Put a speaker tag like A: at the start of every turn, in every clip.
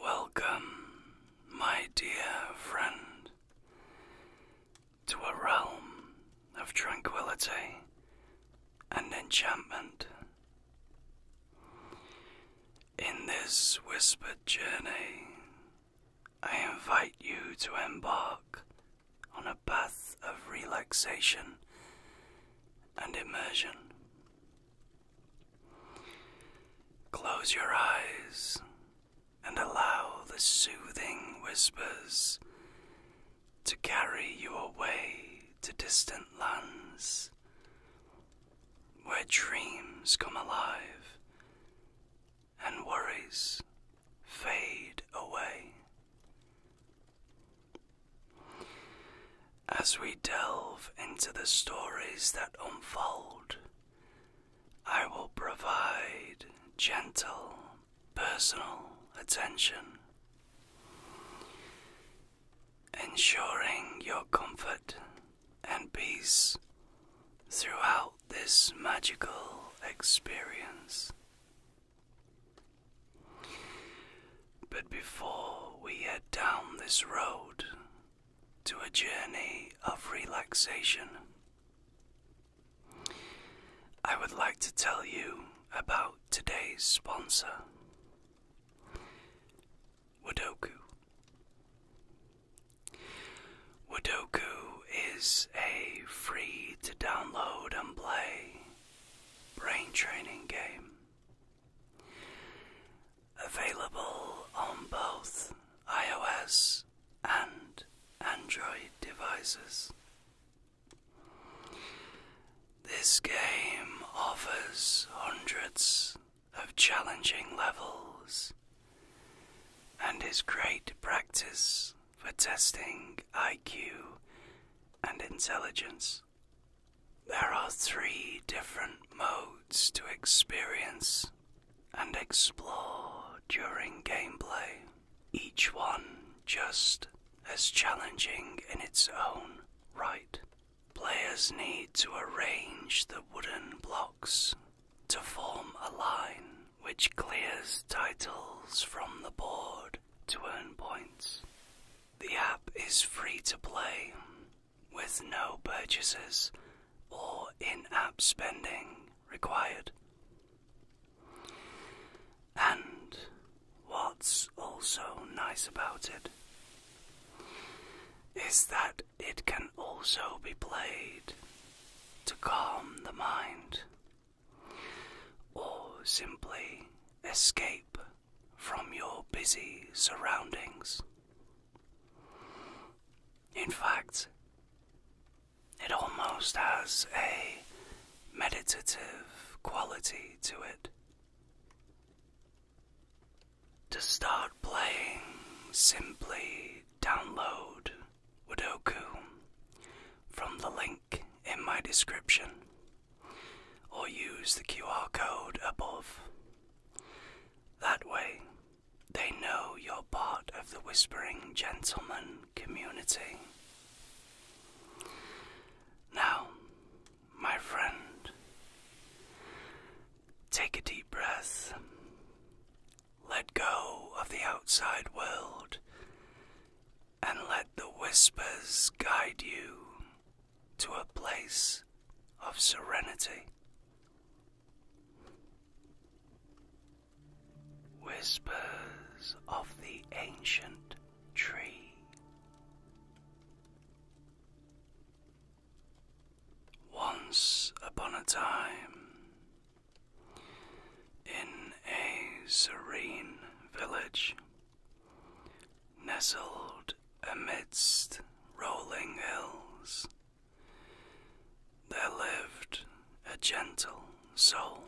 A: Welcome, my dear friend, to a realm of tranquility and enchantment. In this whispered journey,
B: I invite you to embark on a path of relaxation and immersion.
A: Close your eyes and allow the soothing whispers to carry you away to distant lands where dreams come alive and worries fade away. As we delve into the stories that unfold, I will provide gentle, personal attention, ensuring
B: your comfort and peace throughout this
A: magical experience. But before we head down this road, to a journey of relaxation. I would like to tell you about today's sponsor, Wodoku. Wodoku is a free to download and play brain training game Available on both iOS and Android devices. This game offers hundreds of challenging levels and is great practice for testing IQ and intelligence. There are three different modes to experience and explore during gameplay, each one just as challenging in its own right. Players need to arrange the wooden blocks to form a line which clears titles from the board to earn points. The app is free to play with no purchases or in app spending required. And what's also nice about it is that it can also be played to calm the mind or simply escape from your busy surroundings. In fact, it almost has a meditative quality to it. To start playing, simply download Wudoku from the link in my description or use the QR code above. That way, they know you're part of the Whispering Gentleman community. Now, my friend, take a deep breath. Let go of the outside world and let the whispers
B: guide you to a place of serenity.
A: Whispers of the ancient tree. Once upon a time, in a serene village nestled amidst rolling hills, there lived a gentle soul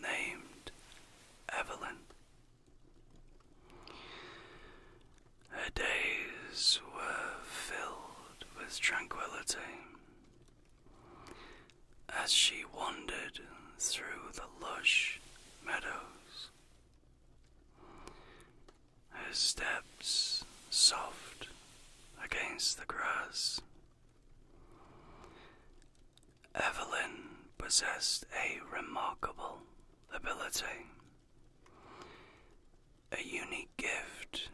A: named Evelyn. Her days were filled with tranquility as she wandered through the lush meadows her steps soft against the grass. Evelyn possessed a remarkable ability, a unique gift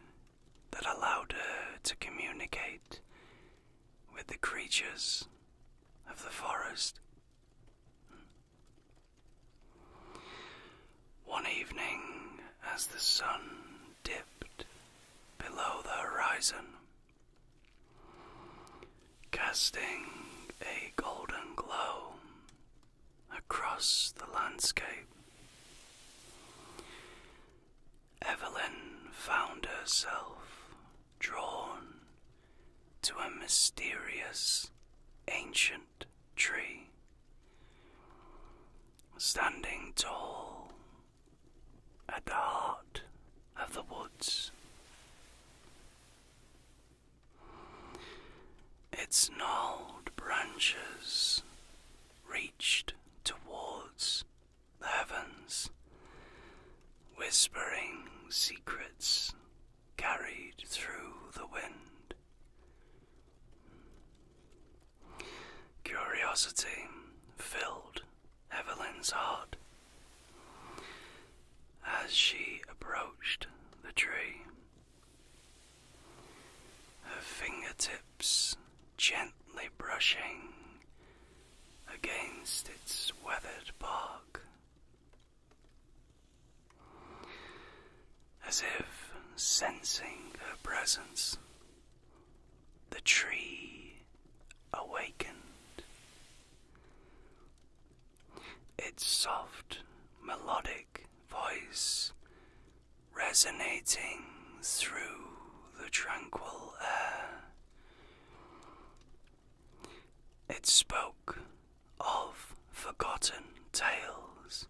A: that allowed her to communicate with the creatures of the forest. One evening, as the sun dipped below the horizon, casting a golden glow across the landscape, Evelyn found herself drawn to a mysterious ancient tree standing tall at the heart of the woods. Its gnarled branches reached towards the heavens, whispering secrets carried through the wind. Curiosity filled Evelyn's heart as she approached the tree. Her fingertips gently brushing against its weathered bark. As if sensing her presence, the tree awakened. Its soft, melodic voice resonating through the tranquil air. It spoke of forgotten tales,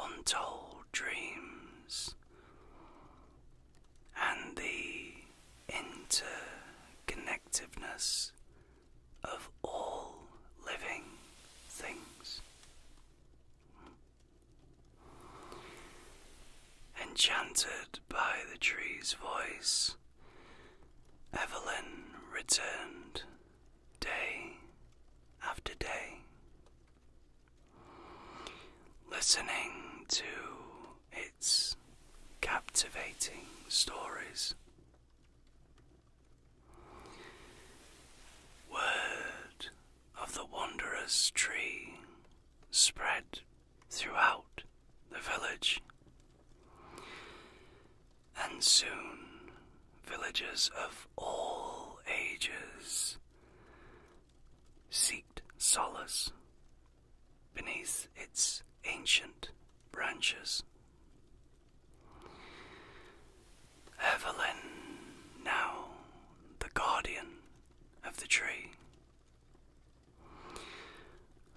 A: untold dreams, and the interconnectiveness of all living things. Enchanted by the tree's voice, Evelyn returned day after day, listening to its captivating stories. Word of the wanderer's tree spread throughout the village and soon villagers of all ages seek solace beneath its ancient branches. Evelyn, now the guardian of the tree,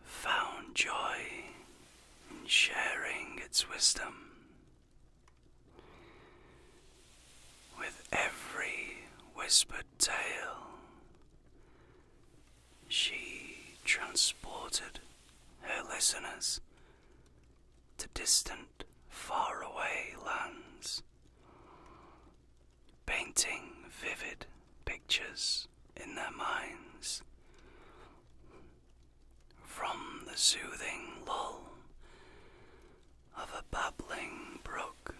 A: found joy and sharing its wisdom with every whispered tale.
B: She transported her listeners to distant, faraway lands, painting vivid pictures
A: in their minds from the soothing lull of a babbling brook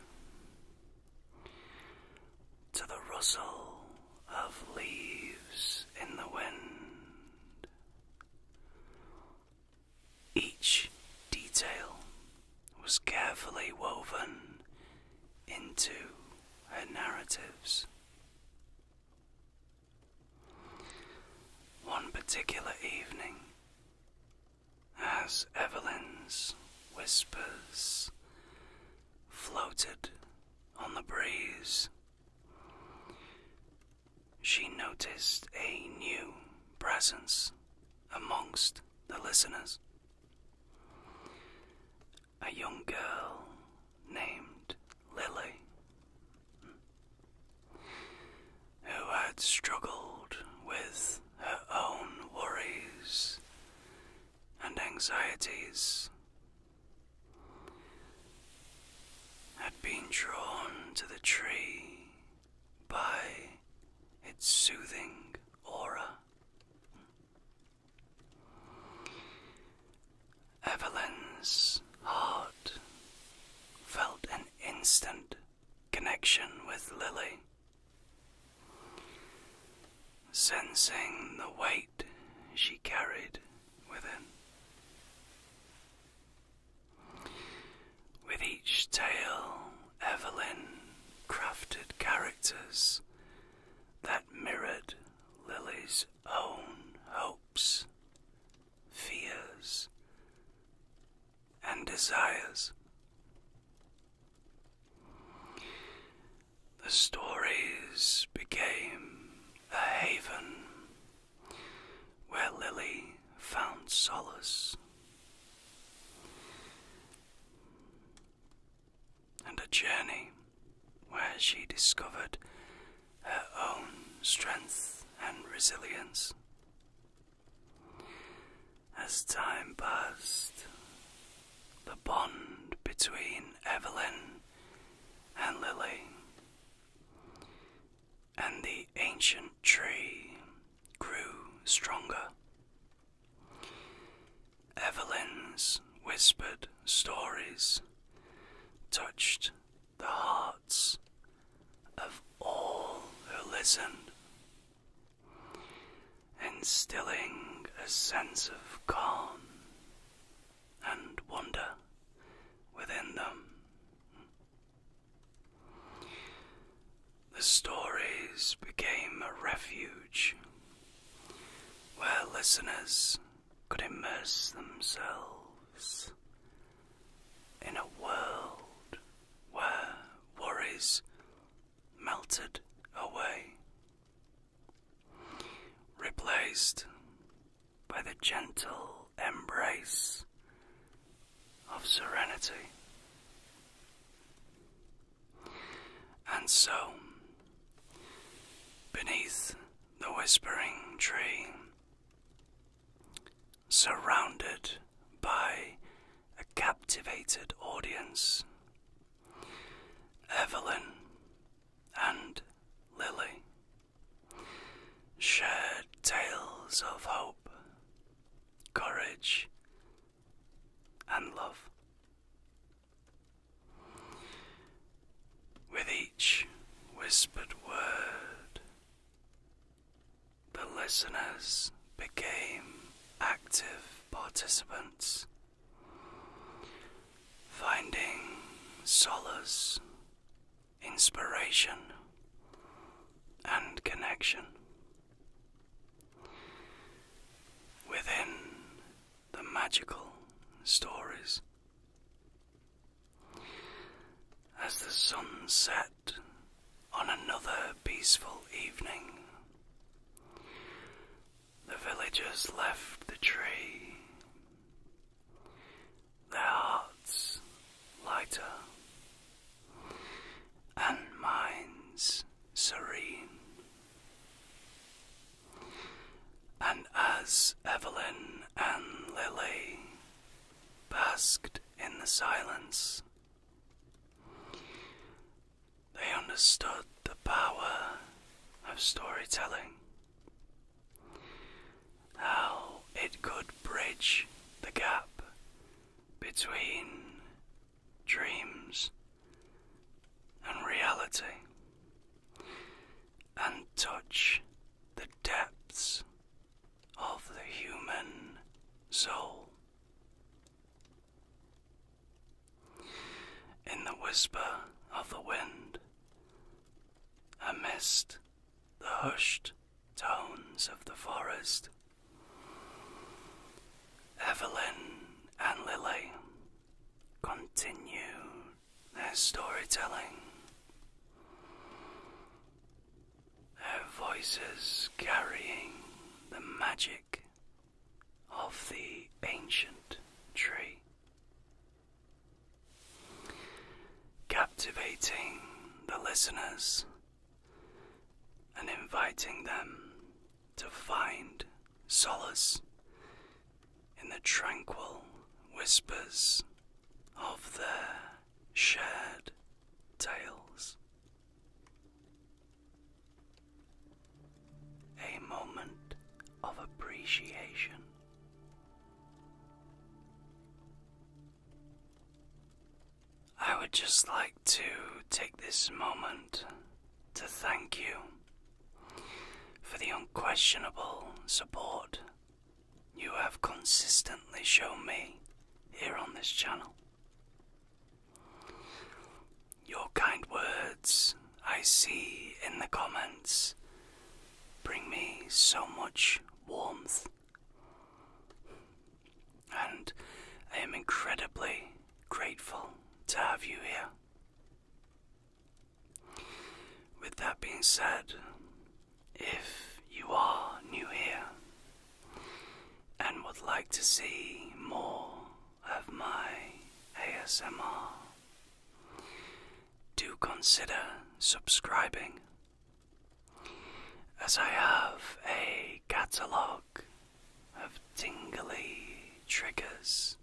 A: to the rustle of leaves in the wind, each detail was carefully woven into her narratives. One particular evening, as Evelyn's whispers floated on the breeze, she noticed a new presence amongst the listeners. A young girl named Lily who had struggled with her own worries and anxieties, had been drawn to the tree by its soothing aura. Evelyn's heart felt an instant connection with Lily. Sensing the weight she carried within.
B: With each tale,
A: Evelyn crafted characters that mirrored Lily's own hopes, fears, and desires. The stories became a haven where Lily found solace and a journey where she discovered her own strength and resilience. As time passed, the bond between Evelyn and Lily and the ancient tree grew stronger. Evelyn's whispered stories touched the hearts of all who listened, instilling a sense of calm and wonder within them. The stories became a refuge
B: where listeners could immerse themselves in a world where worries melted away, replaced by the gentle embrace of serenity.
A: And so, beneath the whispering tree, surrounded by a captivated audience, Evelyn and Lily shared tales of hope, courage, and love. With each whispered word, the listeners became active participants, finding solace, inspiration, and connection. Within the magical stories, as the sun set on another peaceful evening, the villagers left the tree, their hearts lighter and minds serene. And as Evelyn and Lily basked in the silence, they understood the power of storytelling, how it could bridge the gap between dreams and reality, and touch the depths of the human soul. In the whisper of the wind, amidst the hushed tones of the forest, Evelyn and Lily continued their storytelling.
B: Their voices carrying the magic of the ancient
A: tree, captivating the listeners and inviting them to find solace in the tranquil whispers of their shared tales. A moment of appreciation. I would just like to take this moment to thank you for the unquestionable support you have consistently shown me here on this channel. Your kind words I see in the comments bring me so much warmth, and I am incredibly grateful to have you here. With that being said, if you are new here and would like to see more
B: of my ASMR, do
A: consider subscribing as I have a catalogue of tingly triggers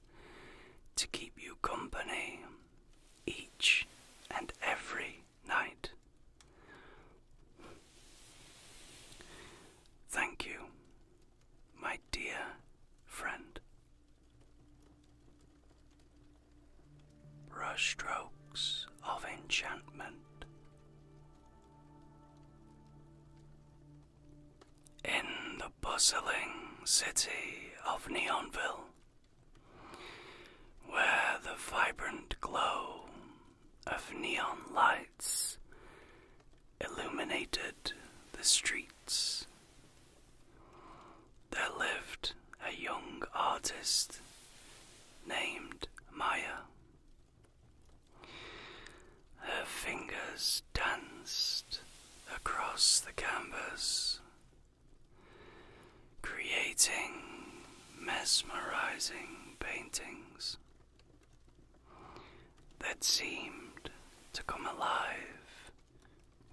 A: to keep you company each and every night. Thank you, my dear friend. Brushstrokes of enchantment. In the bustling city of Neonville, where the vibrant glow of neon lights illuminated the streets. There lived a young artist named Maya. Her fingers danced across the canvas creating mesmerizing paintings that seemed to come alive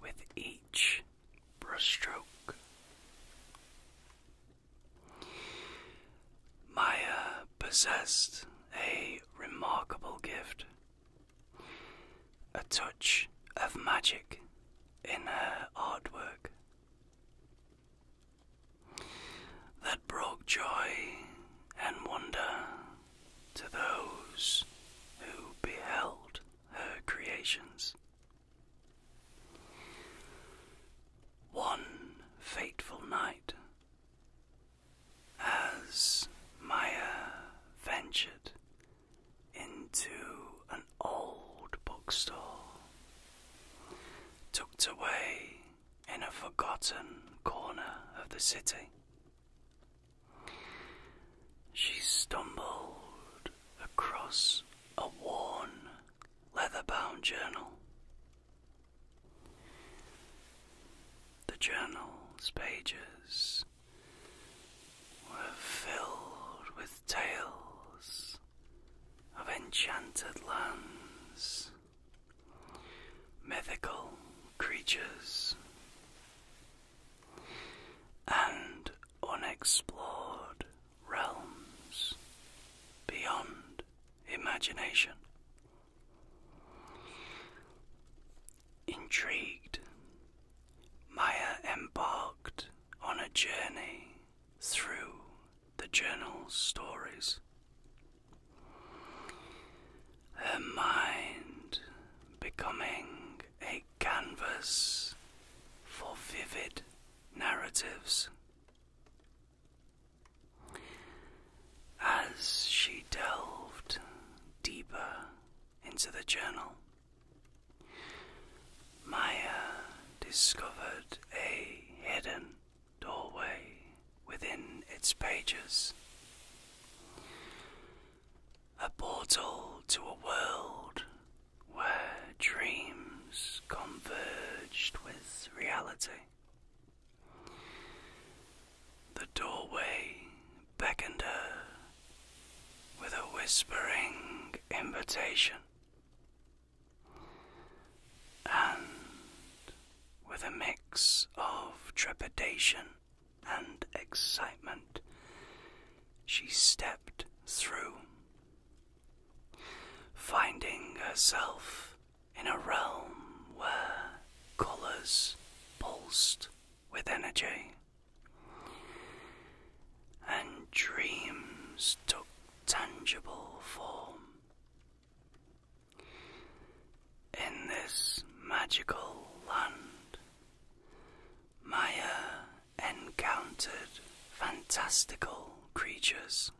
A: with each brushstroke. Maya possessed a remarkable gift, a touch of magic in her artwork that brought joy and wonder to those who beheld her creations. One fateful night, as Maya ventured into an old bookstore,
B: tucked away in a forgotten corner of the
A: city. She stumbled across a worn, leather bound journal. The journal's pages were filled with tales of enchanted lands, mythical creatures, and unexplored realms beyond imagination. Intrigued Maya embarked on a journey through the journal's stories. Her mind becoming a canvas for vivid narratives. As she delved deeper into the journal, Maya discovered a hidden doorway within its pages. A portal to a world where dreams converged with reality. The doorway beckoned her with a whispering invitation, and with a mix of trepidation and excitement, she stepped through, finding herself in a realm where colours pulsed with energy and dreams took tangible form. In this magical land, Maya encountered fantastical creatures.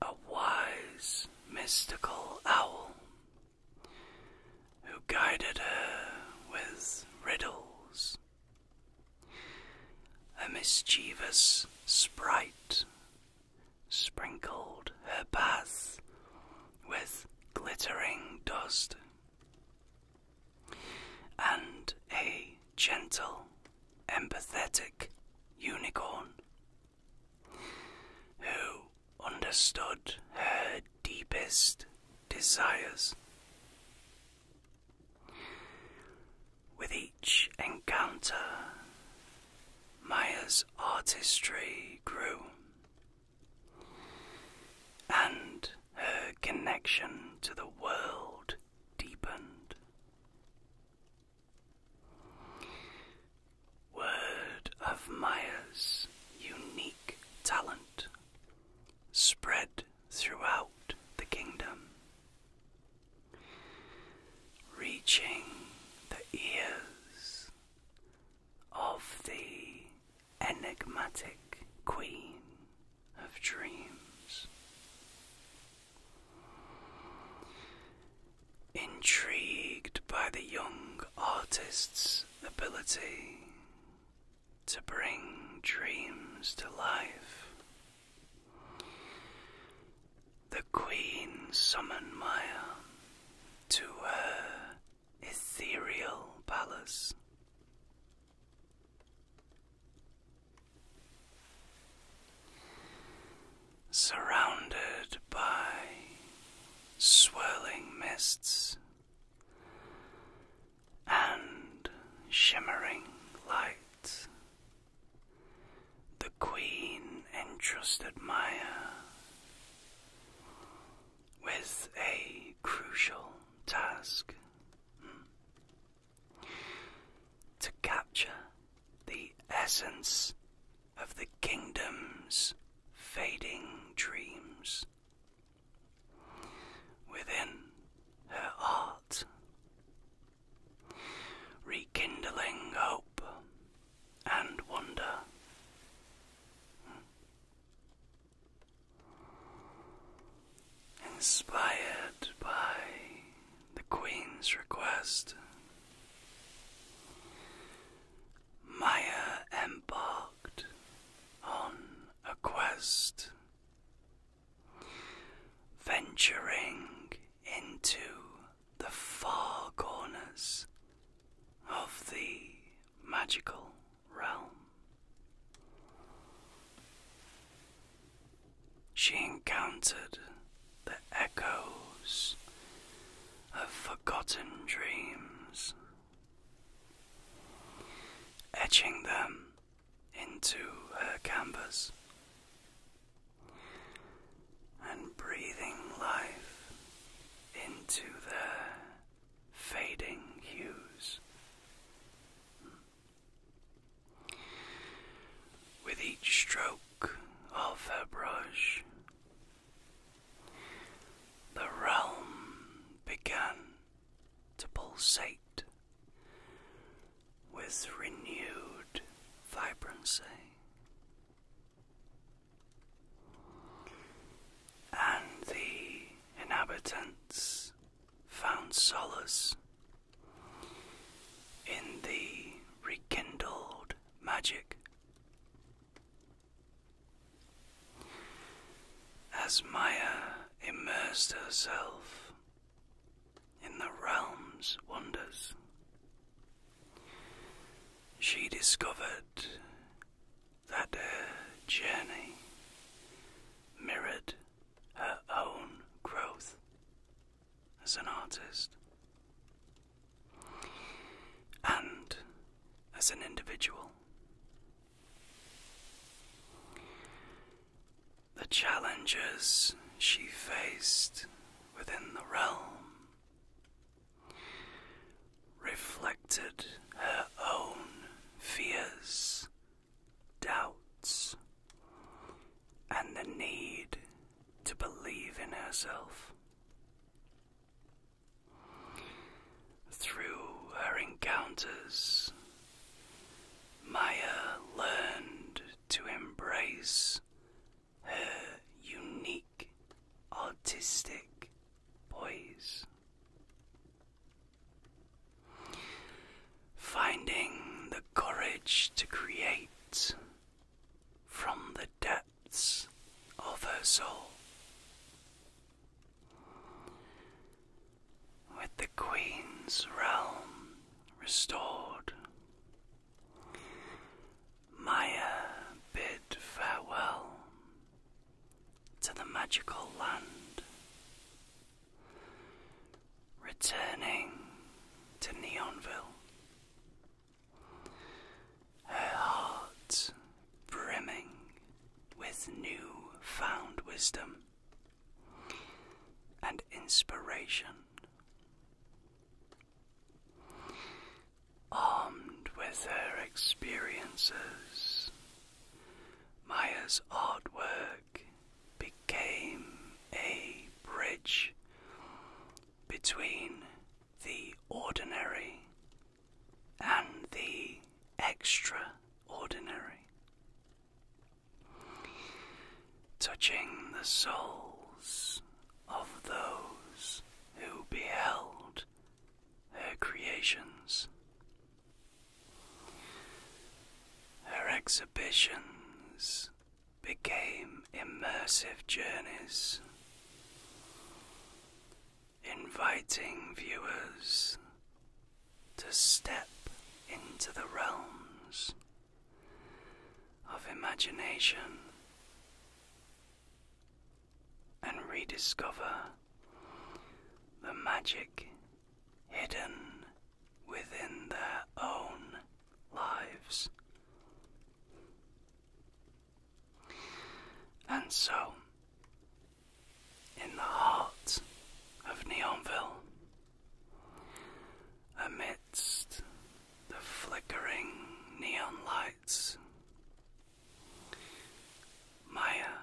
A: A wise, mystical owl, who guided her with riddles. A mischievous sprite sprinkled her path
B: with glittering dust, and a gentle,
A: empathetic unicorn who understood her deepest desires. With each encounter, Maya's artistry grew, and her connection to the world deepened. Word of Maya's unique talent spread throughout the kingdom, reaching the ears of the enigmatic queen of dreams. Intrigued by the young artist's ability to bring dreams to life.
B: The Queen summoned me to her
A: ethereal palace. Surrounded by swirling mists, and shimmering lights. The Queen entrusted Maya with a crucial task hmm, to capture the essence of the kingdom's fading dreams within her art, rekindling hope and wonder. Inspired by the Queen's request, Maya embarked on a quest, venturing into the far corners of the magical realm. She encountered the echoes of forgotten dreams etching them into her canvas and breathing life into their fading hues.
B: With each stroke of her brush,
A: the realm began to pulsate with renewed vibrancy. And the inhabitants found solace in the rekindled magic as Maya immersed herself in the realm's wonders, she discovered that her journey mirrored her own growth as an artist and as an individual. The challenges she faced within the realm
B: reflected her own fears, doubts, and the need to believe in herself. Through her encounters, Maya learned
A: to embrace her unique artistic poise. Finding the courage to create from the depths of her soul. With the Queen's realm restored, Maya bid farewell to the magical land, returning to Neonville. Her heart brimming with new found wisdom and inspiration. Armed with her experiences, Maya's artwork became a bridge between the ordinary and the extraordinary, touching the souls of those who beheld her creations. Her exhibitions became immersive journeys inviting viewers to step into the realms of imagination and rediscover the magic hidden within their own lives. And so, in the heart of Neonville, amidst the flickering neon lights, Maya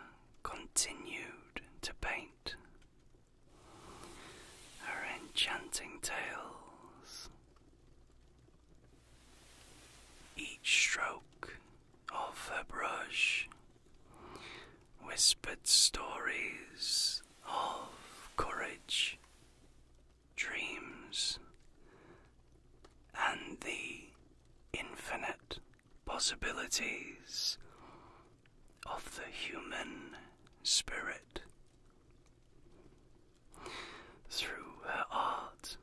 A: continued to paint her enchanting tales. Each stroke of her brush, whispered stories of courage,
B: dreams, and the infinite
A: possibilities of the human spirit. Through her art,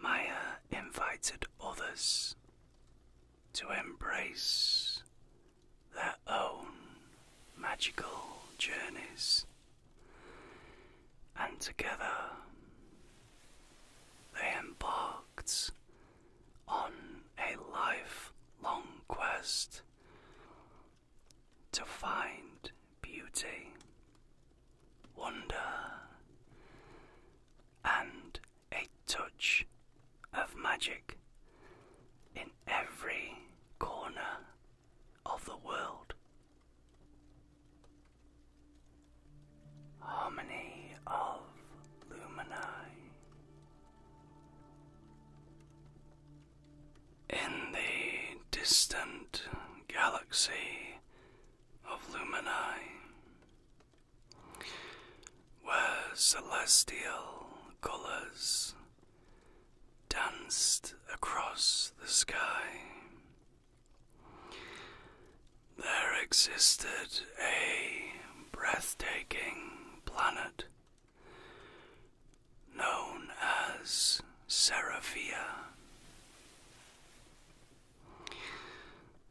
A: Maya invited others to embrace their own magical journeys, and together they embarked on a lifelong quest to find beauty, wonder, and a touch of magic in every corner of the world. Harmony of Luminae. In the distant galaxy of Luminae, where celestial colours danced across the sky. There existed a breathtaking planet known as Seraphia.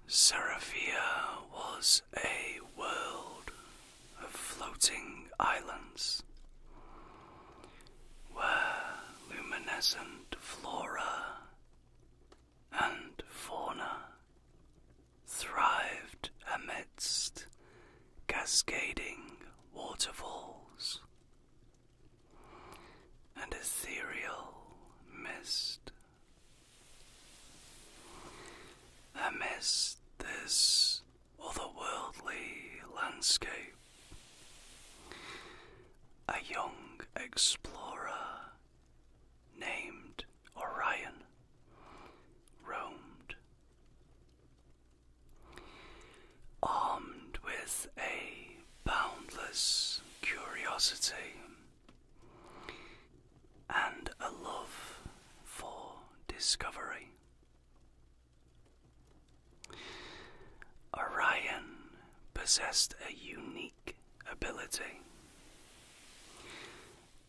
A: Seraphia was a world of floating islands where luminescent flora and fauna thrived amidst cascading waterfalls and ethereal mist Amidst this otherworldly landscape, a young explorer named Orion roamed. Armed with a boundless curiosity and a love for discovery. Orion possessed a unique ability,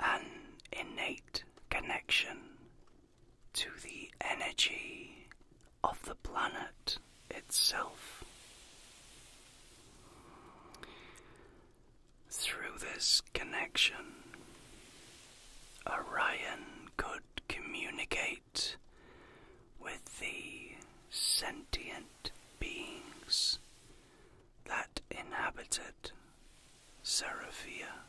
A: an innate connection to the energy of the planet itself. Through this connection, Orion could communicate with the sentient beings that inhabited Seraphia.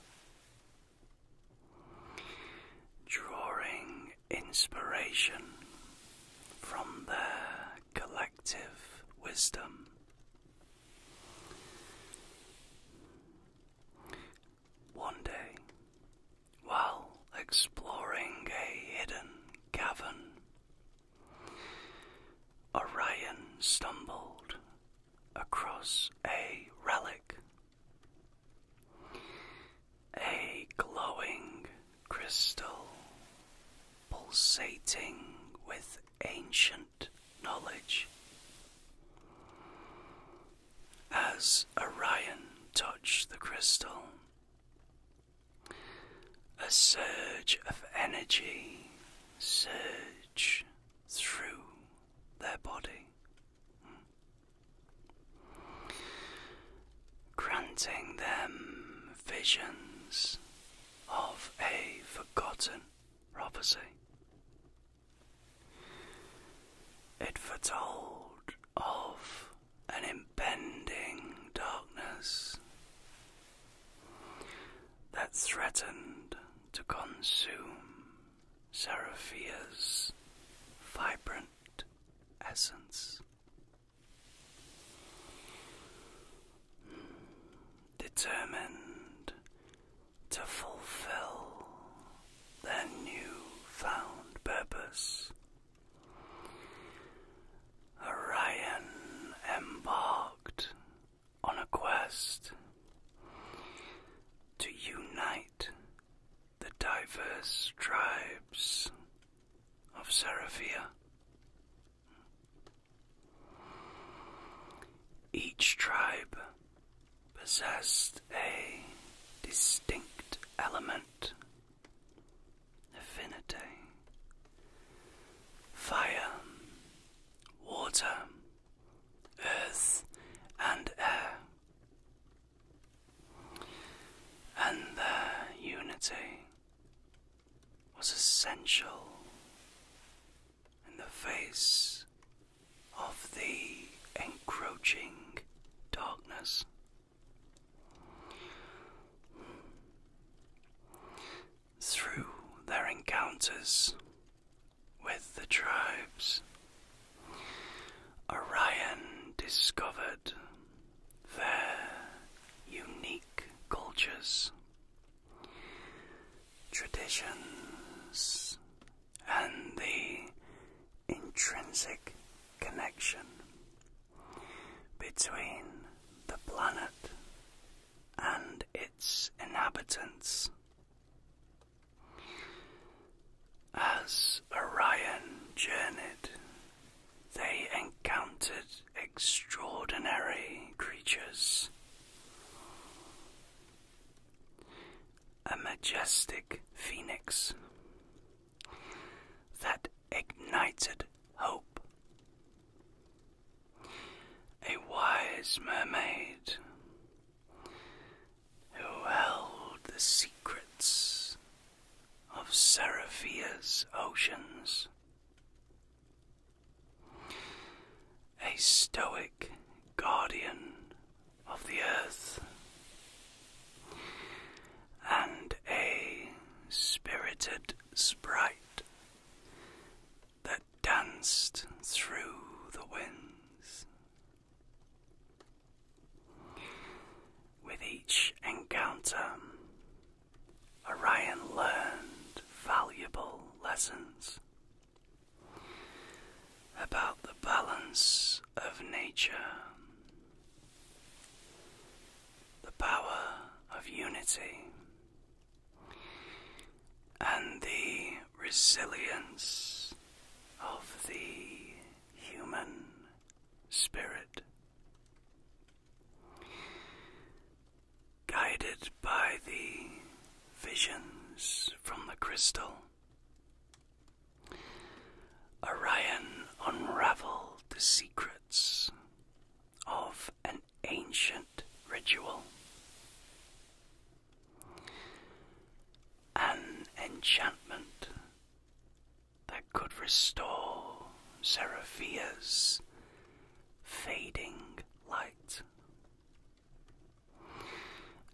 A: Drawing inspiration from there collective wisdom. One day, while exploring a hidden cavern, Orion stumbled across a relic. A glowing crystal pulsating with ancient knowledge. As Orion touched the crystal, a surge of energy
B: surged through their body, granting them visions of a forgotten prophecy. It foretold of an impending darkness that threatened to consume Seraphia's
A: vibrant essence determined to fulfill their new-found purpose. Orion embarked on a quest to unite the diverse tribes of Seraphia. Each tribe possessed a distinct element, affinity, fire, water, earth, and air. And their unity was essential in the face of the encroaching darkness. Through their encounters with the tribes, Orion discovered their unique cultures, traditions, and the intrinsic connection between the planet and its inhabitants. As Orion journeyed, they encountered extraordinary creatures. A majestic phoenix that ignited hope. A wise mermaid who held the secrets of Seraphia's oceans. A stoic guardian of the earth and a spirited sprite that danced through the winds. With each encounter, Orion learned valuable lessons about the balance of nature, the power of unity, and the resilience of the
B: human spirit. Guided by
A: the visions from the crystal, Orion unraveled the secrets of an ancient ritual. An enchantment that could restore Seraphia's fading light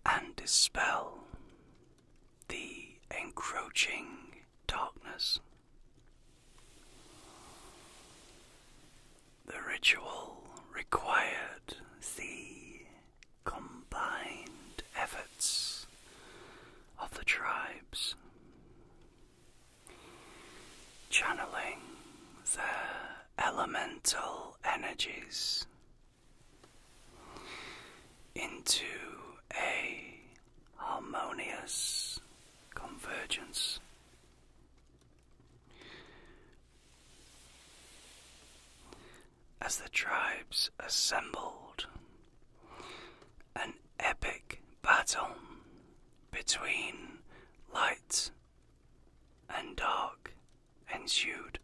A: and dispel the encroaching darkness. The ritual required the combined efforts of the tribes channeling the elemental
B: energies into a harmonious convergence.
A: As the tribes assembled, an epic battle between light and dark ensued.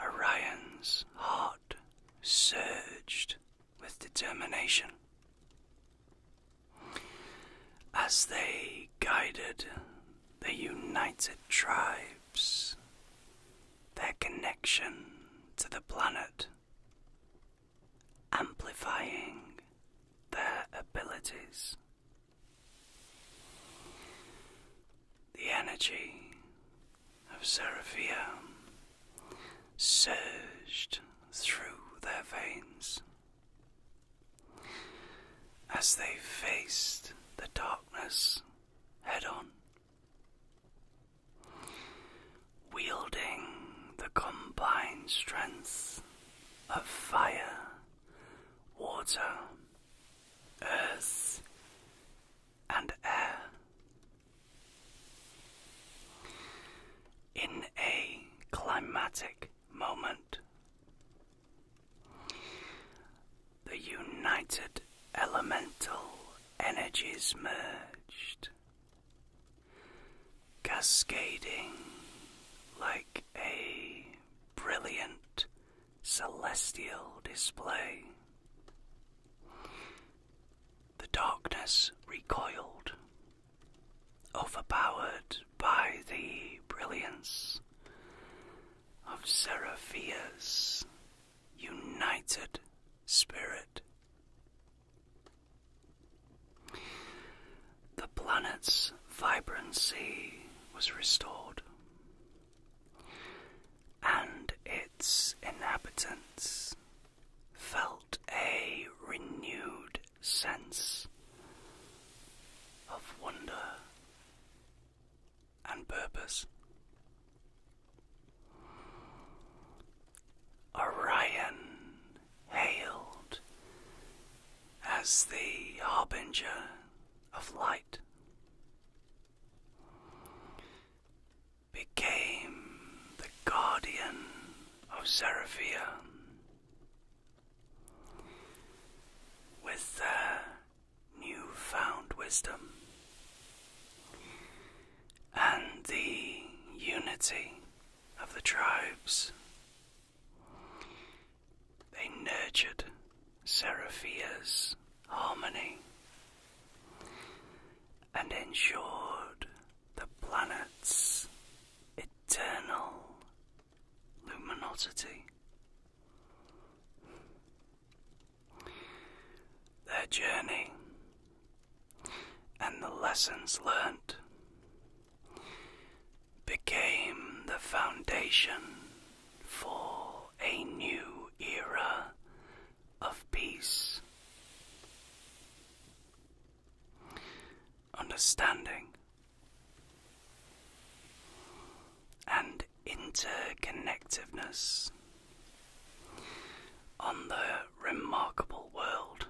A: Orion's heart surged with determination. As they guided the united tribes, their connection to the planet amplifying their abilities. The energy of Seraphia surged through their veins as they faced the darkness head on. Wielding the combined strengths of fire, water, earth, and air. In a climatic moment, the united elemental energies merged cascading like a brilliant celestial display. The darkness recoiled, overpowered by the brilliance of Seraphia's united spirit. The planet's vibrancy was restored, and its inhabitants felt a renewed sense of wonder and purpose. Orion hailed as the harbinger of light became the guardian of Seraphia with their newfound wisdom and the unity of the tribes. They nurtured Seraphia's harmony
B: and ensured the planet's
A: eternal luminosity. Their journey and the lessons learnt became the foundation for a new era of peace. Understanding and interconnectedness on
B: the remarkable world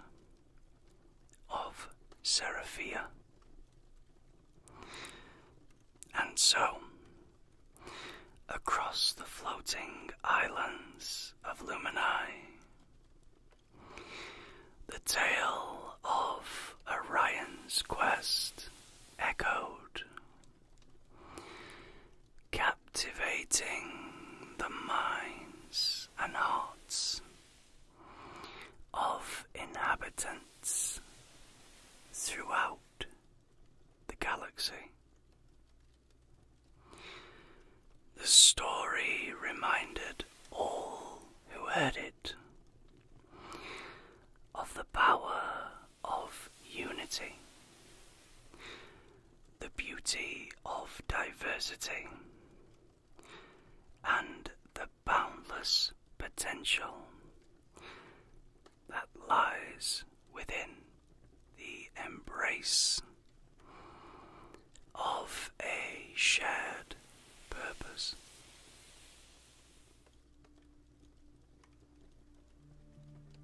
B: of Seraphia.
A: And so, across the floating islands of Luminae, the tale of Orion's quest echoed, captivating the minds and hearts of inhabitants throughout the galaxy. The story reminded all who heard it of the power of unity, the beauty of diversity, and the boundless potential that lies within the embrace of a shared purpose.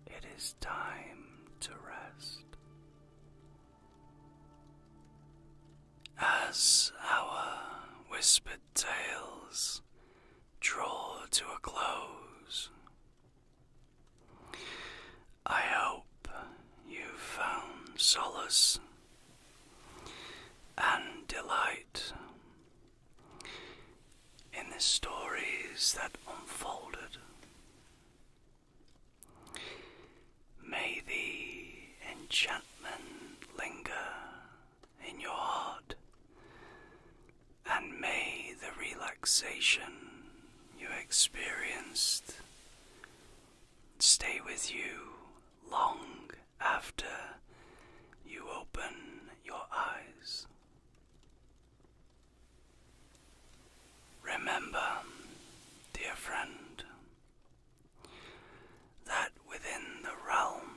A: It is time to rest. As our whispered tales draw to a close, I hope you've found solace and delight in the stories that unfolded May the enchantment linger in your heart, and may the relaxation
B: you experienced stay with you long after you open your eyes.
A: Remember, dear friend, that within the realm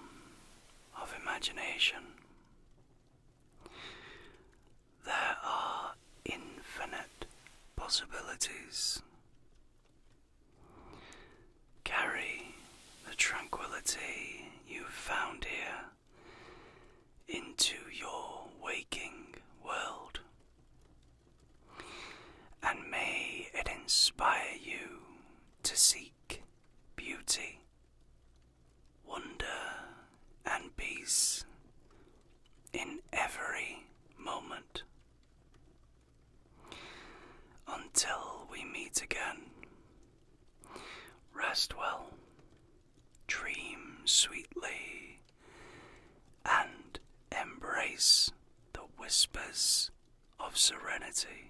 A: of imagination there are infinite possibilities. Carry the tranquility you've found here into your waking world and may it inspire you to seek beauty, wonder, and peace
B: in every moment. Until we
A: meet again, rest well, dream sweetly, and embrace the whispers of serenity.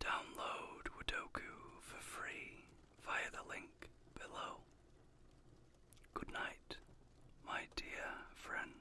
A: Download Wudoku for free via the link below. Good night, my
B: dear friend.